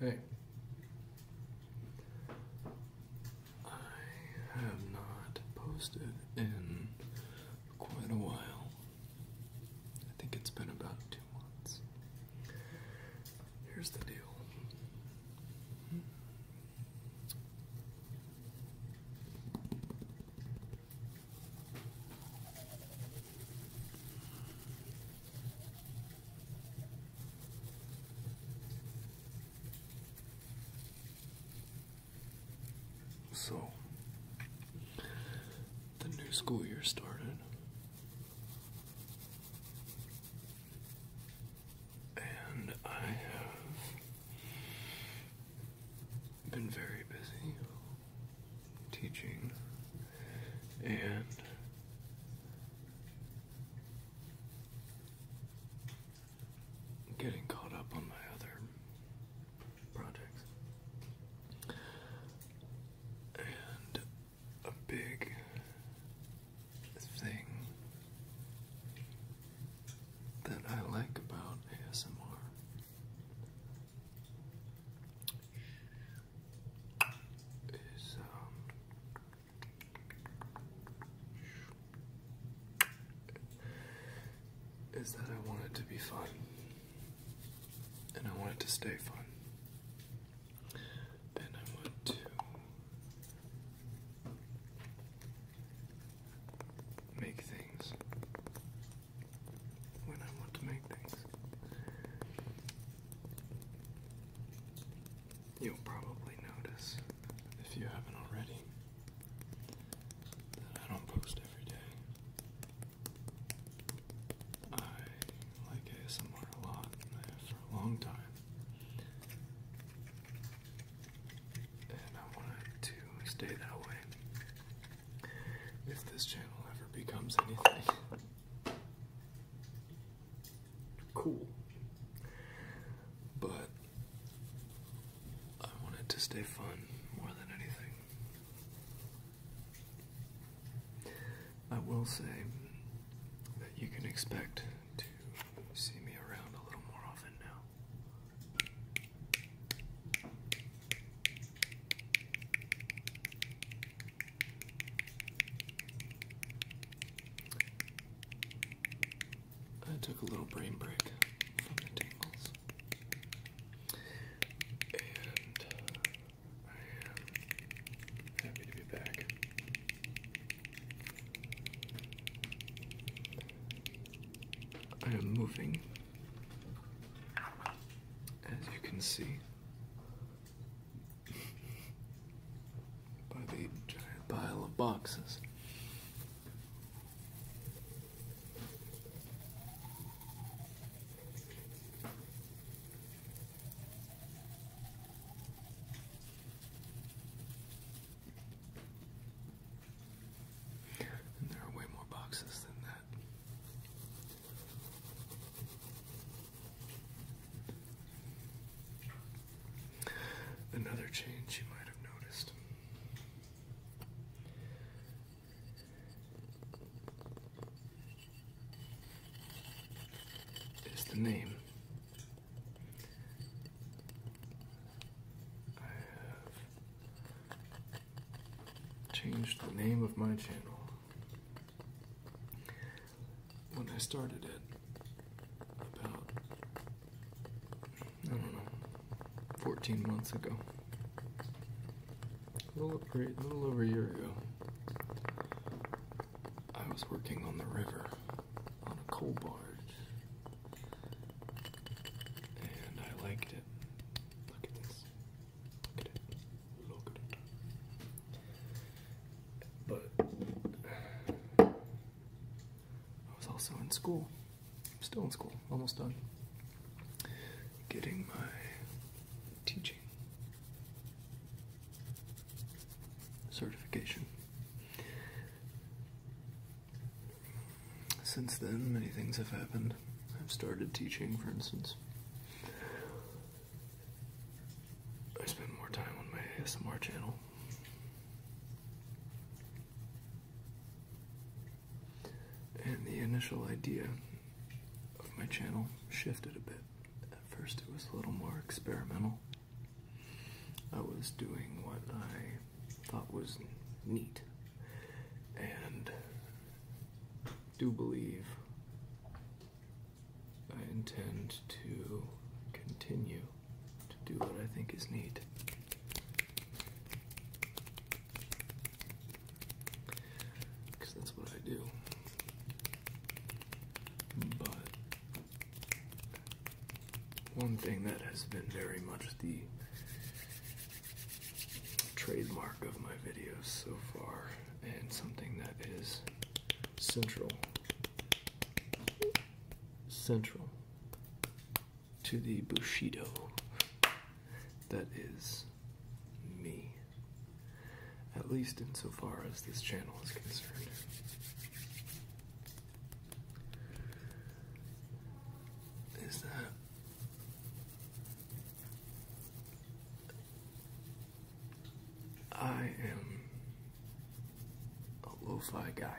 Hey. I have not posted in quite a while. I think it's been about two months. Here's the deal. So, the new school year started, and I have been very busy teaching and getting caught up on my other projects. And a big thing that I like about ASMR is um is that I want it to be fun and I want it to stay fun. Then I want to make things when I want to make things. You'll probably notice, if you haven't already, that I don't post every day. I like ASMR a lot, for a long time. And I want to stay that way if this channel ever becomes anything cool. But I want it to stay fun more than anything. I will say that you can expect to see me around a little more often now. I took a little brain break from the tingles. And I am happy to be back. I am moving, as you can see, by the giant pile of boxes. And there are way more boxes than that. Another change you might have noticed. Is the name. I have changed the name of my channel when I started it about I don't know 14 months ago a little, over, a year ago I was working on the river on a coal barge and I liked it look at this it but I was also in school, still in school, almost done, getting my teaching certification. Since then, many things have happened. I've started teaching, for instance. I spend more time on my ASMR channel. And the initial idea of my channel shifted a bit. At first, it was a little more experimental. I was doing what I thought was neat and do believe I intend to continue to do what I think is neat? Because that's what I do. But one thing that has been very much the trademark of my videos so far, and something that is central central to the bushido that is me at least insofar as this channel is concerned is that I am a oh, lo-fi guy.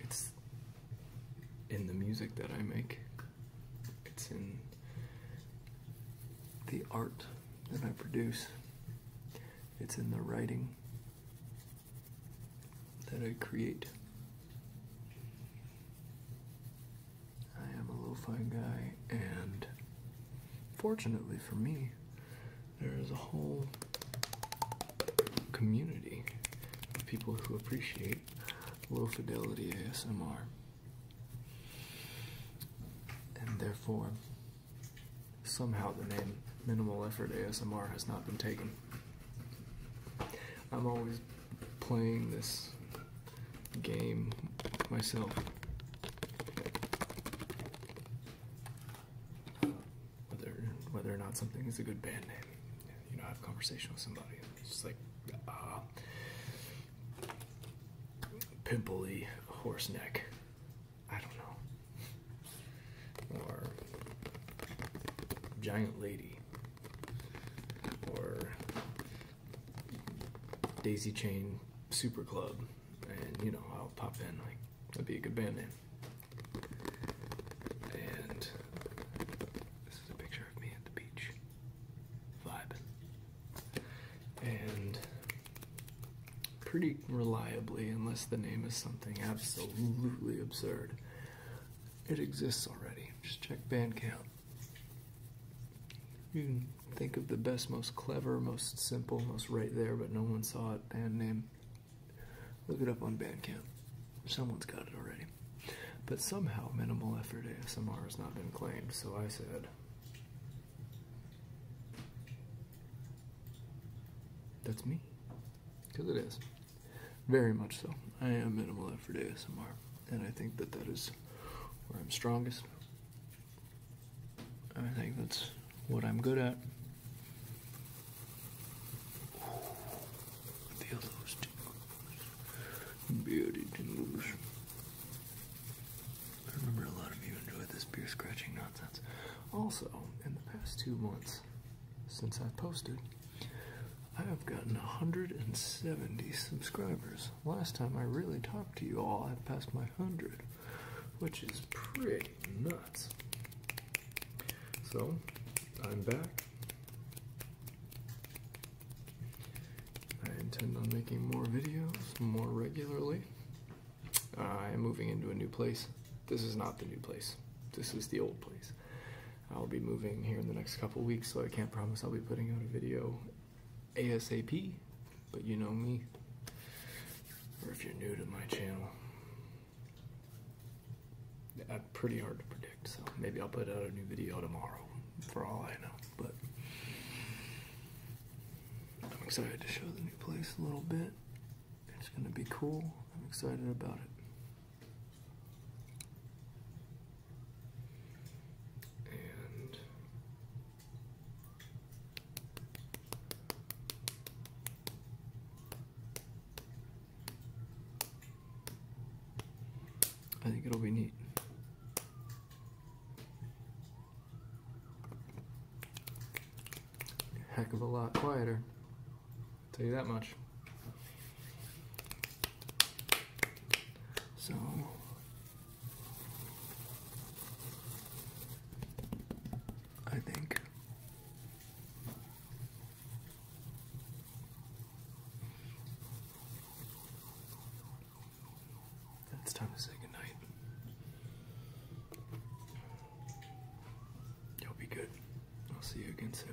It's in the music that I make. It's in the art that I produce. It's in the writing that I create. I am a low fi guy, and fortunately for me, there is a whole community of people who appreciate low fidelity ASMR. And therefore, somehow the name Minimal Effort ASMR has not been taken. I'm always playing this game myself. Whether whether or not something is a good band name, you know, I have conversation with somebody. it's just like uh, pimply horse neck. I don't know. Or giant lady. Or Daisy Chain Super Club, and you know, I'll pop in, like, that'd be a good band name. And this is a picture of me at the beach, vibing. And pretty reliably, unless the name is something absolutely absurd, it exists already. Just check Bandcamp. You think of the best, most clever, most simple, most right there, but no one saw it band name. Look it up on Bandcamp. Someone's got it already. But somehow minimal effort ASMR has not been claimed, so I said. That's me. Because it is. Very much so. I am minimalist for ASMR, and I think that that is where I'm strongest. I think that's what I'm good at. Ooh, feel those tingles. Beauty tingles. I remember a lot of you enjoyed this beer scratching nonsense. Also, in the past two months since I posted, I have gotten 170 subscribers. Last time I really talked to you all, I passed my 100, which is pretty nuts. So, I'm back. I intend on making more videos more regularly. Uh, I am moving into a new place. This is not the new place. This is the old place. I'll be moving here in the next couple weeks, so I can't promise I'll be putting out a video ASAP, but you know me, or if you're new to my channel, i pretty hard to predict, so maybe I'll put out a new video tomorrow, for all I know, but I'm excited to show the new place a little bit. It's gonna be cool. I'm excited about it. I think it'll be neat. Heck of a lot quieter. I'll tell you that much. So I think it's time to say goodnight. You'll be good. I'll see you again soon.